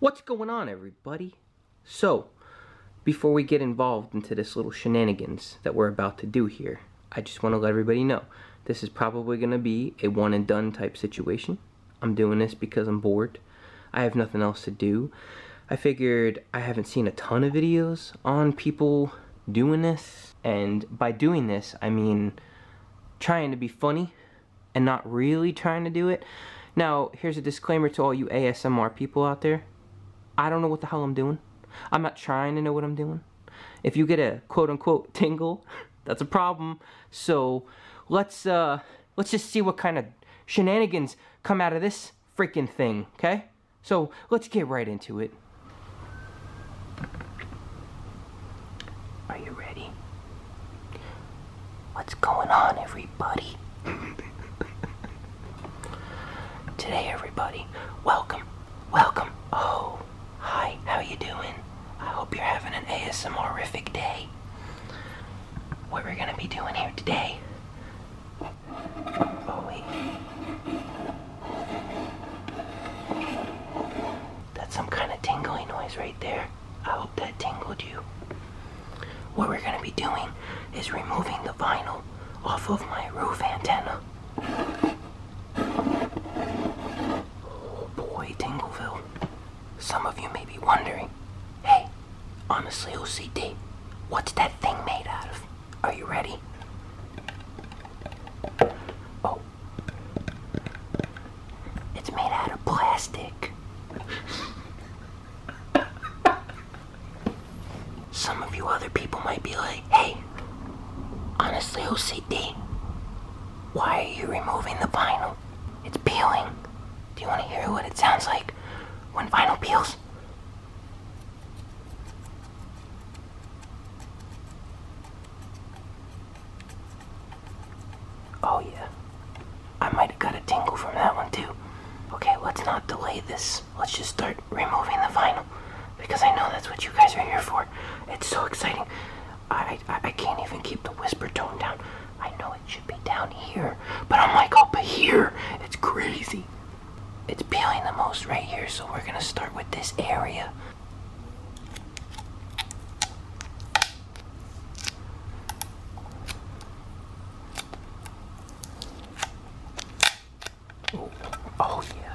What's going on everybody? So, before we get involved into this little shenanigans that we're about to do here, I just want to let everybody know, this is probably going to be a one and done type situation. I'm doing this because I'm bored. I have nothing else to do. I figured I haven't seen a ton of videos on people doing this. And by doing this, I mean trying to be funny and not really trying to do it. Now, here's a disclaimer to all you ASMR people out there. I don't know what the hell I'm doing. I'm not trying to know what I'm doing. If you get a quote-unquote tingle, that's a problem. So let's uh, let's just see what kind of shenanigans come out of this freaking thing, okay? So let's get right into it. Are you ready? What's going on, everybody? Today, everybody, welcome, welcome. Oh, hi, how you doing? I hope you're having an ASMRific day. What we're gonna be doing here today that's some kind of tingling noise right there. I hope that tingled you. What we're gonna be doing is removing the vinyl off of my roof antenna. Oh boy, Tingleville. Some of you may be wondering, hey, Honestly, OCD, what's that thing made out of? Are you ready? Oh. It's made out of plastic. Some of you other people might be like, hey, honestly, OCD, why are you removing the vinyl? It's peeling. Do you want to hear what it sounds like when vinyl peels? Oh yeah. I might have got a tingle from that one too. Okay, let's not delay this. Let's just start removing the vinyl. Because I know that's what you guys are here for. It's so exciting. I, I, can't even keep the whisper tone down. I know it should be down here. But I'm like up here. It's crazy. It's peeling the most right here, so we're gonna start with this area. Oh, yeah.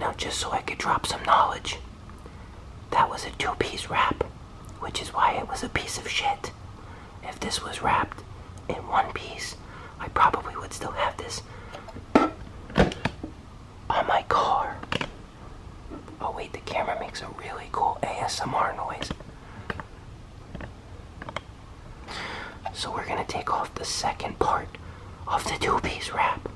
Now, just so I could drop some knowledge. That was a two piece wrap, which is why it was a piece of shit. If this was wrapped in one piece, I probably would still have this on my car. Oh, wait, the camera makes a really cool ASMR noise. So, we're gonna take off the second part of the two piece wrap.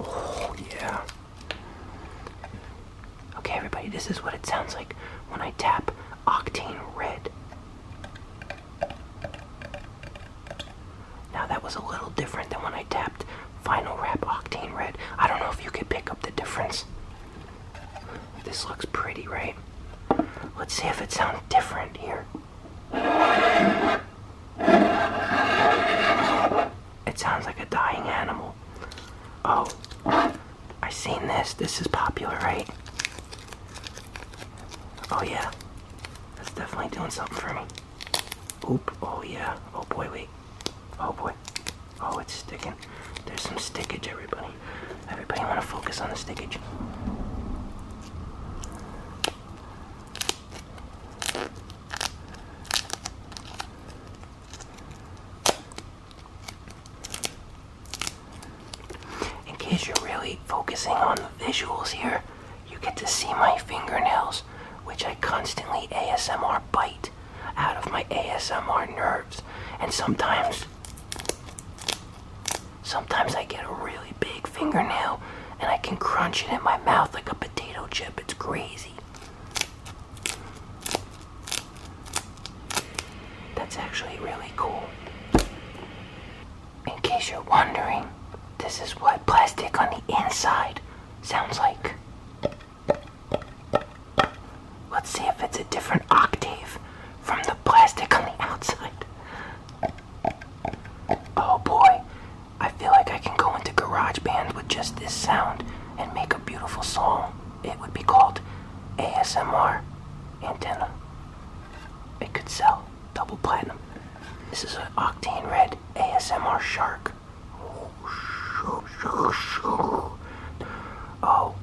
Oh, yeah. Okay, everybody, this is what it sounds like when I tap Octane Red. Now, that was a little different than when I tapped Final Wrap Octane Red. I don't know if you could pick up the difference. This looks pretty, right? Let's see if it sounds different here. It sounds like a dying animal. Oh, I seen this. This is popular, right? Oh yeah, that's definitely doing something for me. Oop, oh yeah, oh boy, wait. Oh boy, oh it's sticking. There's some stickage, everybody. Everybody wanna focus on the stickage. In case you're really focusing on the visuals here, you get to see my fingernails, which I constantly ASMR bite out of my ASMR nerves, and sometimes Sometimes I get a really big fingernail and I can crunch it in my mouth like a potato chip. It's crazy. That's actually really cool. In case you're wondering, this is what plastic on the inside sounds like. Let's see if it's a different octave from the plastic on the outside. Oh boy, I feel like I can go into GarageBand with just this sound and make a beautiful song. It would be called ASMR Antenna. It could sell double platinum. This is an Octane Red ASMR Shark. Oh,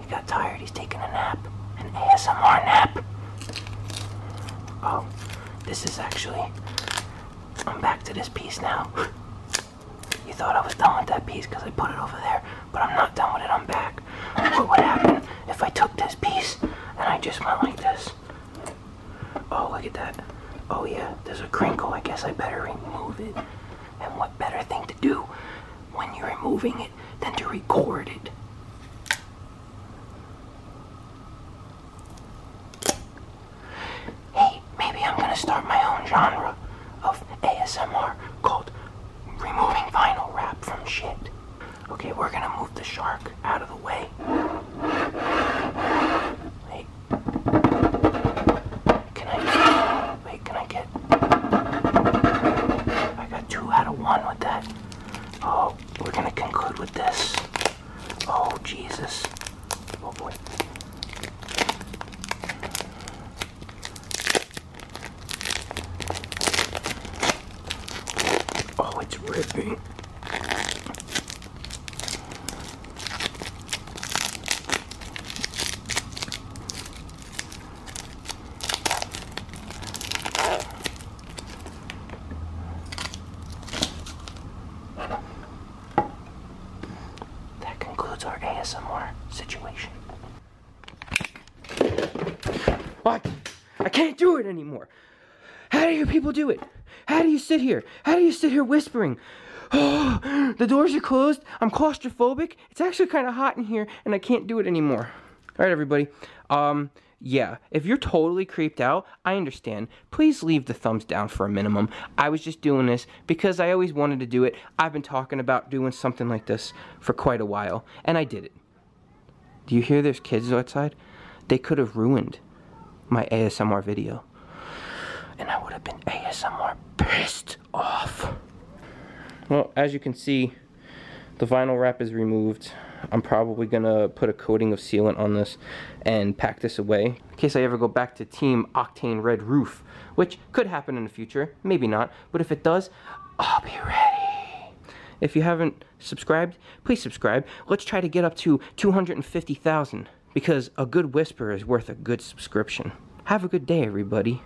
he got tired. He's taking a nap. An ASMR nap. Oh, this is actually. I'm back to this piece now. you thought I was done with that piece because I put it over there, but I'm not done with it, I'm back. What would happen if I took this piece and I just went like this? Oh, look at that. Oh, yeah, there's a crinkle. I guess I better remove it. And what better thing to do when you're removing it than to record it? Hey, maybe I'm gonna start my own genre of ASMR called removing vinyl wrap from shit. Okay, we're gonna move the shark out of the way. Wait. Can I get, wait, can I get I got two out of one with that. Oh we're gonna conclude with this. Oh, Jesus. Oh, boy. Oh, it's ripping. That concludes our ASMR situation. What? I can't do it anymore. How do you people do it? How do you sit here? How do you sit here whispering? the doors are closed. I'm claustrophobic. It's actually kind of hot in here, and I can't do it anymore. All right, everybody. Um, yeah, if you're totally creeped out, I understand. Please leave the thumbs down for a minimum. I was just doing this because I always wanted to do it. I've been talking about doing something like this for quite a while, and I did it. Do you hear there's kids outside? They could have ruined my ASMR video. And I would have been ASMR pissed off. Well, as you can see, the vinyl wrap is removed. I'm probably gonna put a coating of sealant on this and pack this away in case I ever go back to Team Octane Red Roof, which could happen in the future, maybe not, but if it does, I'll be ready. If you haven't subscribed, please subscribe. Let's try to get up to 250,000 because a good whisper is worth a good subscription. Have a good day, everybody.